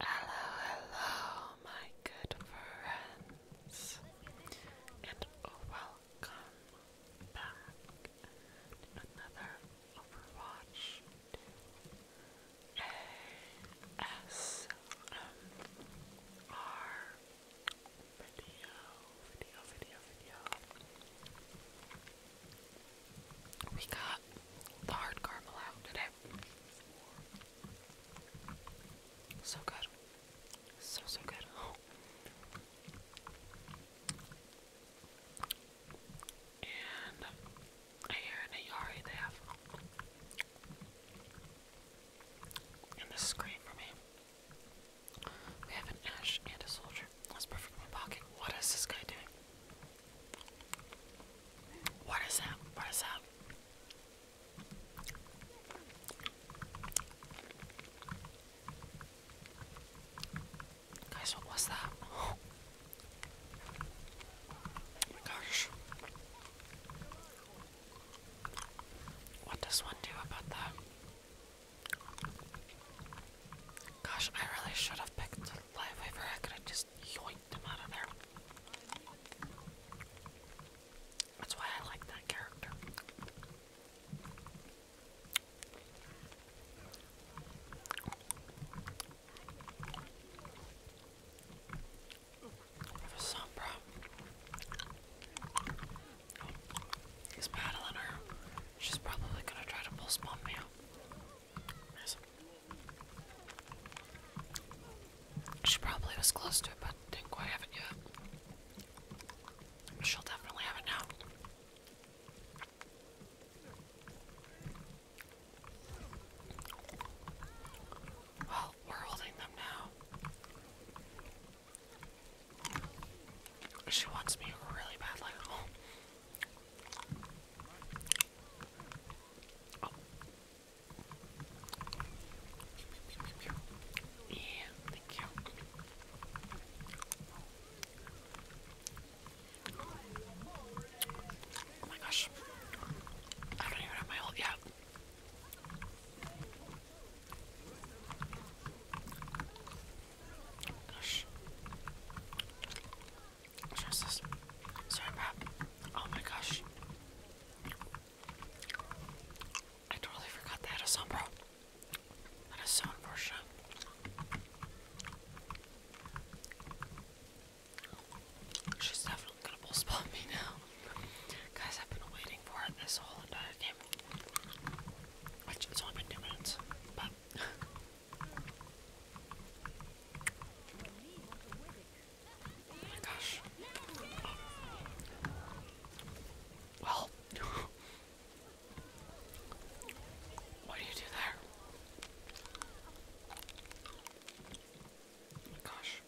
Hello, hello, my good friends, and welcome back to another Overwatch 2 video. We got the hard caramel out today. So good. So, so good. And here in Ayari they have. And this is great for me. We have an ash and a soldier. Let's put my pocket. What is this guy doing? What is that? What is that? Guys, what was that? Oh, my gosh. What does one do about that? Gosh, I really should have picked live waiver, I could have just yoinked him out of there. That's why I like that character. For Sombra. He's battling her. She's probably gonna try to pull Spawn me out. She probably was close to it, but didn't quite have it yet. she'll definitely have it now. Well, we're holding them now. She wants me really badly. Oh. Yeah, thank you. Oh my gosh. I don't even have my ult yet. Gosh. Just this certain wrap. Oh my gosh. I totally forgot they had a sunbro. That is so unfortunate. She's definitely gonna bull spot me now. Guys, I've been waiting for this whole entire game. Which it's only been two minutes, Oh my gosh. Well, what do you do there? Oh my gosh.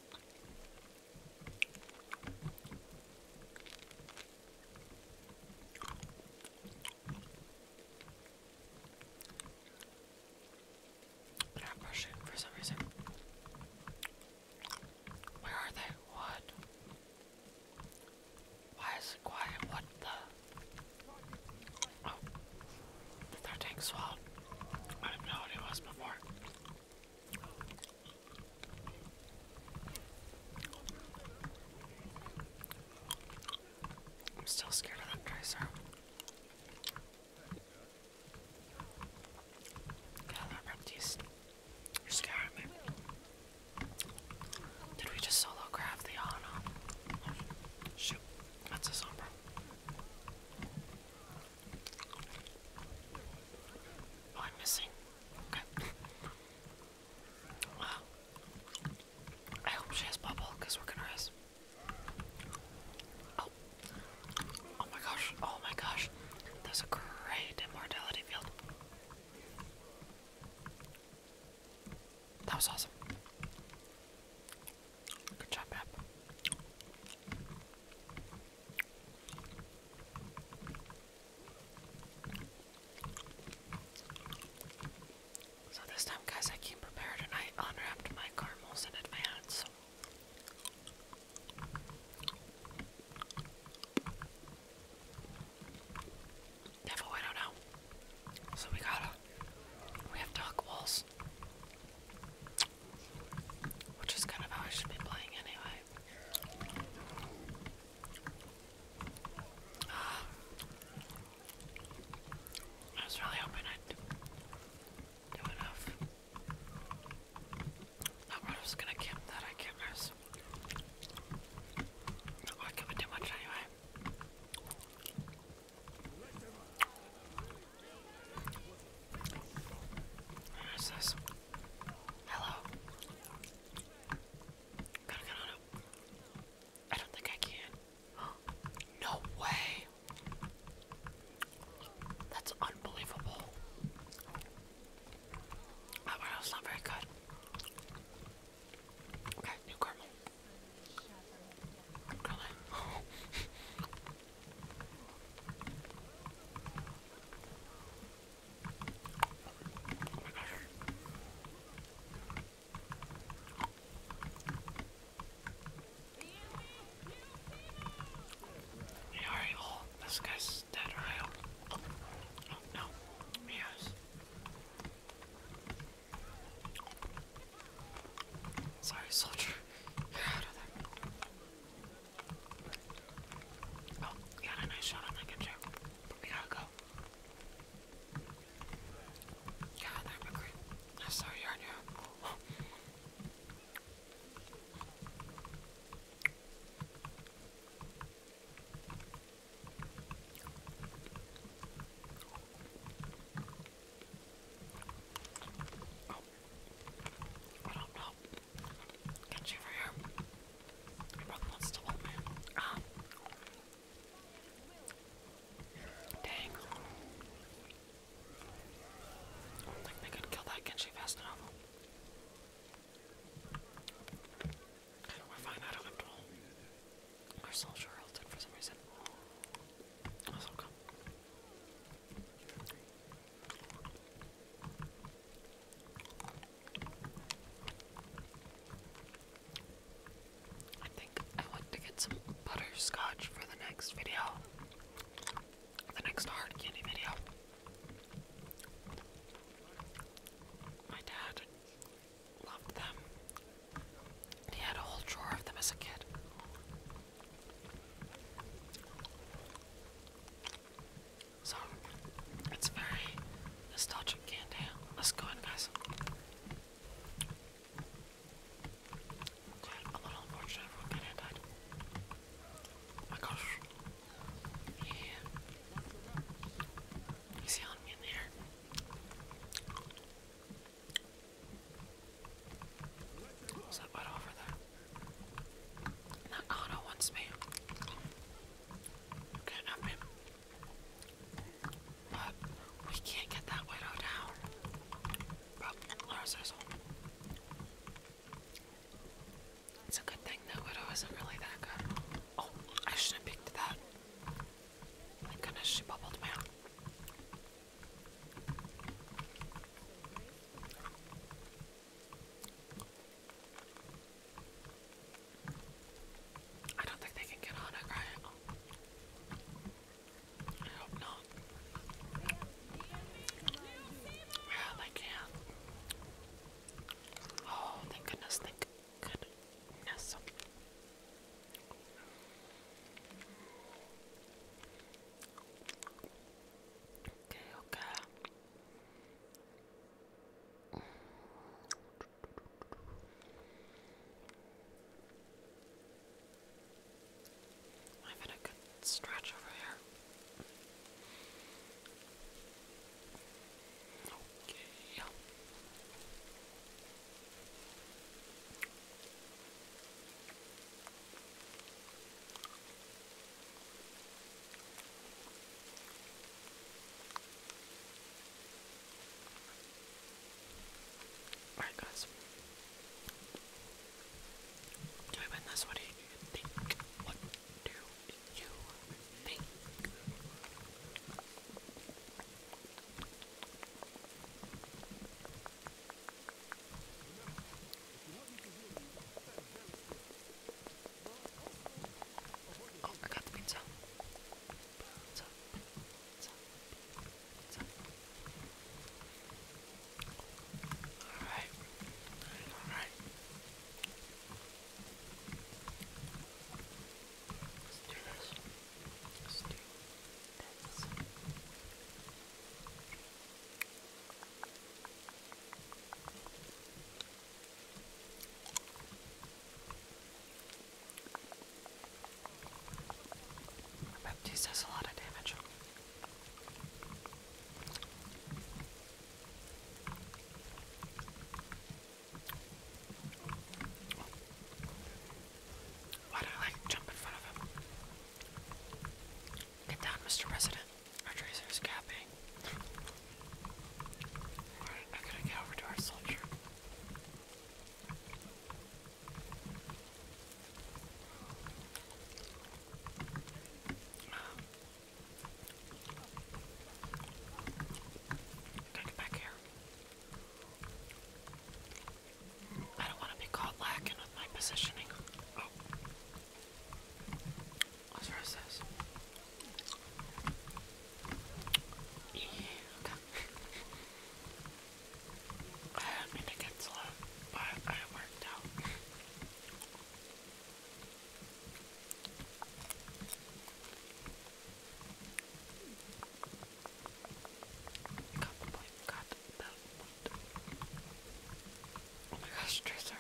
They're not for some reason. Where are they? What? Why is it quiet? What the? Oh. The third tank swallowed. I didn't know it was before. I'm still scared of that tracer. God, that repties. You're scaring me. Did we just solo grab the Ana? shoot, that's a sombra. Oh, I'm missing. Okay. wow. I hope she has bubble, because we're gonna race. Oh. Oh my gosh. Oh my gosh. There's a great immortality field. That was awesome. Good job, Map. So this time, guys, I came prepared and I unwrapped my caramels in advance. Devil, I don't know. So we gotta, we have duck walls. Which is kind of how I should be playing anyway. I was really hoping I'd do enough. I was gonna camp that I can't miss. Not working too much anyway. What is this? Hello. I don't think I can. No way. That's unbelievable. Oh, that one not very good. Okay, new caramel. Really? Oh. Yeah, oh, this guy's dead, right? Oh, no. Yes. Sorry, soldier. you out of there. Oh, got a nice shot on that good we gotta go. Kağıtlar bakayım. Nasıl yanıyor? I don't know. Get you for here. Um, Dang. I don't think they could kill that Genshi fast Okay, we're fine, I don't have to hold. Our soldier ulted for some reason. That's okay. I think I want to get some butterscotch for the next video. The next hard candy video. My dad loved them. He had a whole drawer of them as a kid. So it's very nostalgic candy. Let's go in, guys. a little unfortunate everyone got hand died. my gosh. Yeah. He's yelling me in the air. that butt over there? That Kana wants me. Get up him. we can't get that widow down. It's a good thing that widow isn't really that good. Oh, I should have picked that. Thank goodness she bubbled me out. I don't think they can get on it, right? I hope not. Yeah, they can. Oh, thank goodness, thank goodness. Okay, okay. I'm having a good stretch over here. Okay. Alright guys. Anyway, that's what do you think? What do you think? Oh, I got the pizza. Alright. Alright. Let's do this. Let's do this. Baptiste does a lot of damage. Why do I like jump in front of him? Get down, Mr. President. Our tracer is capping. I gotta get over to our soldier. Gotta get back here. I don't want to be caught lacking with my positioning. Oh. Let's roast this. I mean to get slow, but I worked out. Got the plate, got the plate. Oh my gosh, Tracer.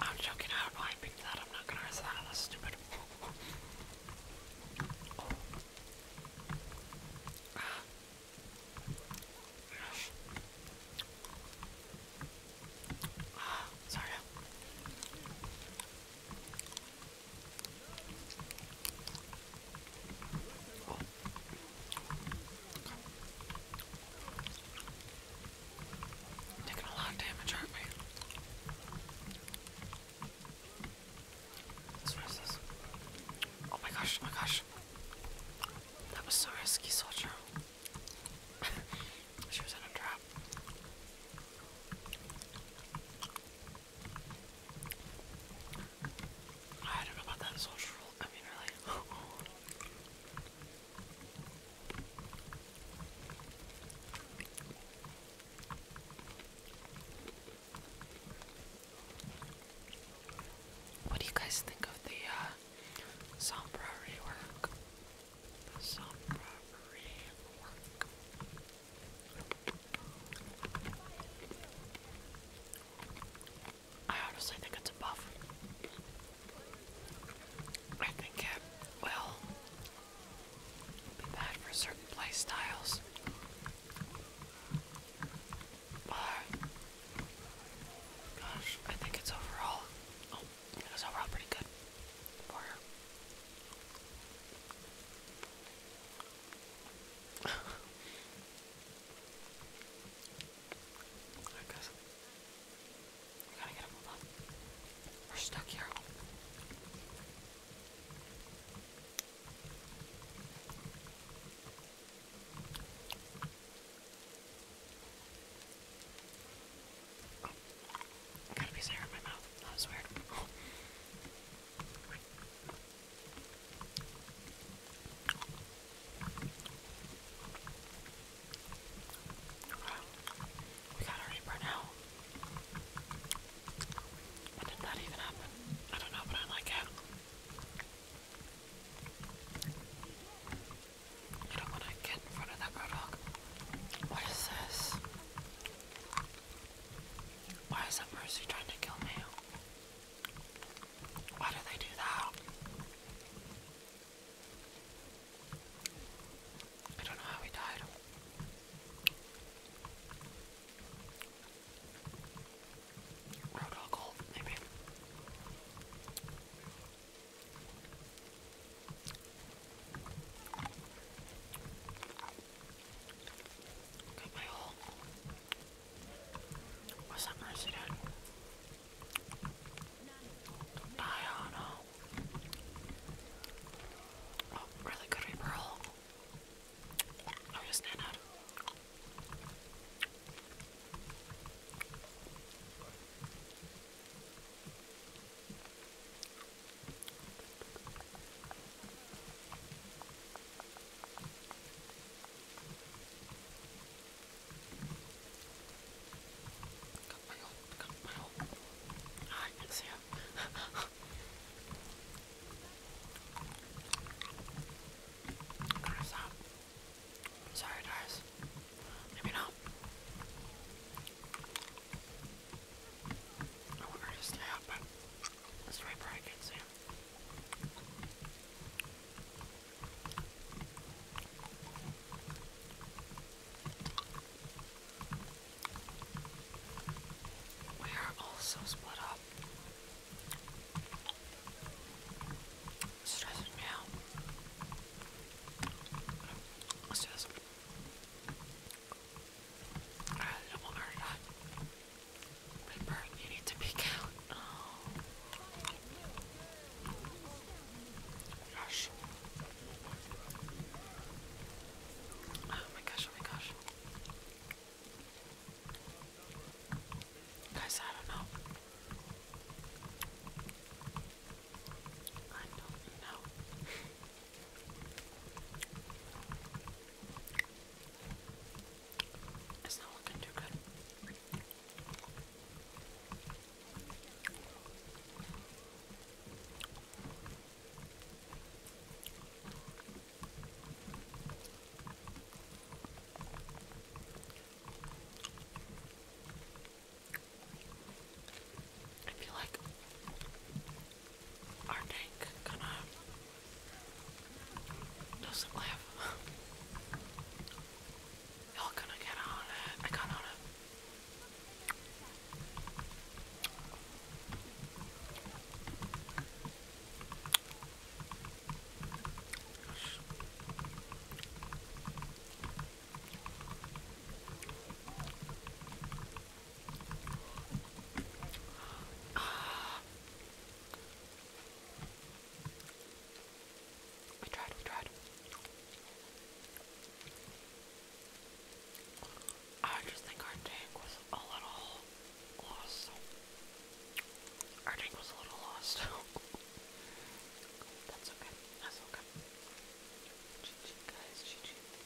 I'm joking. I I picked that. I'm not gonna risk that. That's stupid. Ah. sorry taking a lot of damage, aren't we? This what is Oh my gosh, oh my gosh. That was so risky, soldier. she was in a trap. I don't know about that social rule. I mean, really. What do you guys think of the uh, Sombra rework? The Sombra rework. I honestly think it's a buff. I think it will be bad for certain play gosh, I think it's overall oh, overall pretty good Alright guys. We gotta get him up. We're stuck here. got a piece of in my mouth. That was weird. We got already burnt out. But did that even happen? I don't know, but I like it. I don't want to get in front of that roadhog. What is this? Why is that Mercy trying to kill me? Why do they do that? I don't know how he died. Roadhog gold, maybe. Got my whole. What's that mercy doing? Diana. Oh, really good repearl. Oh, just stand out. Got my own, got my own. Ah, I can see him. Cross out. Sorry, guys. Maybe not. I want her to stay up, We are also split up. stressing me out. Let's do this. Alright, no more not. My bird, you need to peek out. Oh. Gosh. Oh my gosh, oh my gosh. Guys, I don't know. I don't know. It's not looking too good. I feel like our tank kinda doesn't live. Y'all going get on it. I got on it. We tried, we tried. I just think our tank was a little lost. Our tank was a little lost. That's okay. That's okay. guys,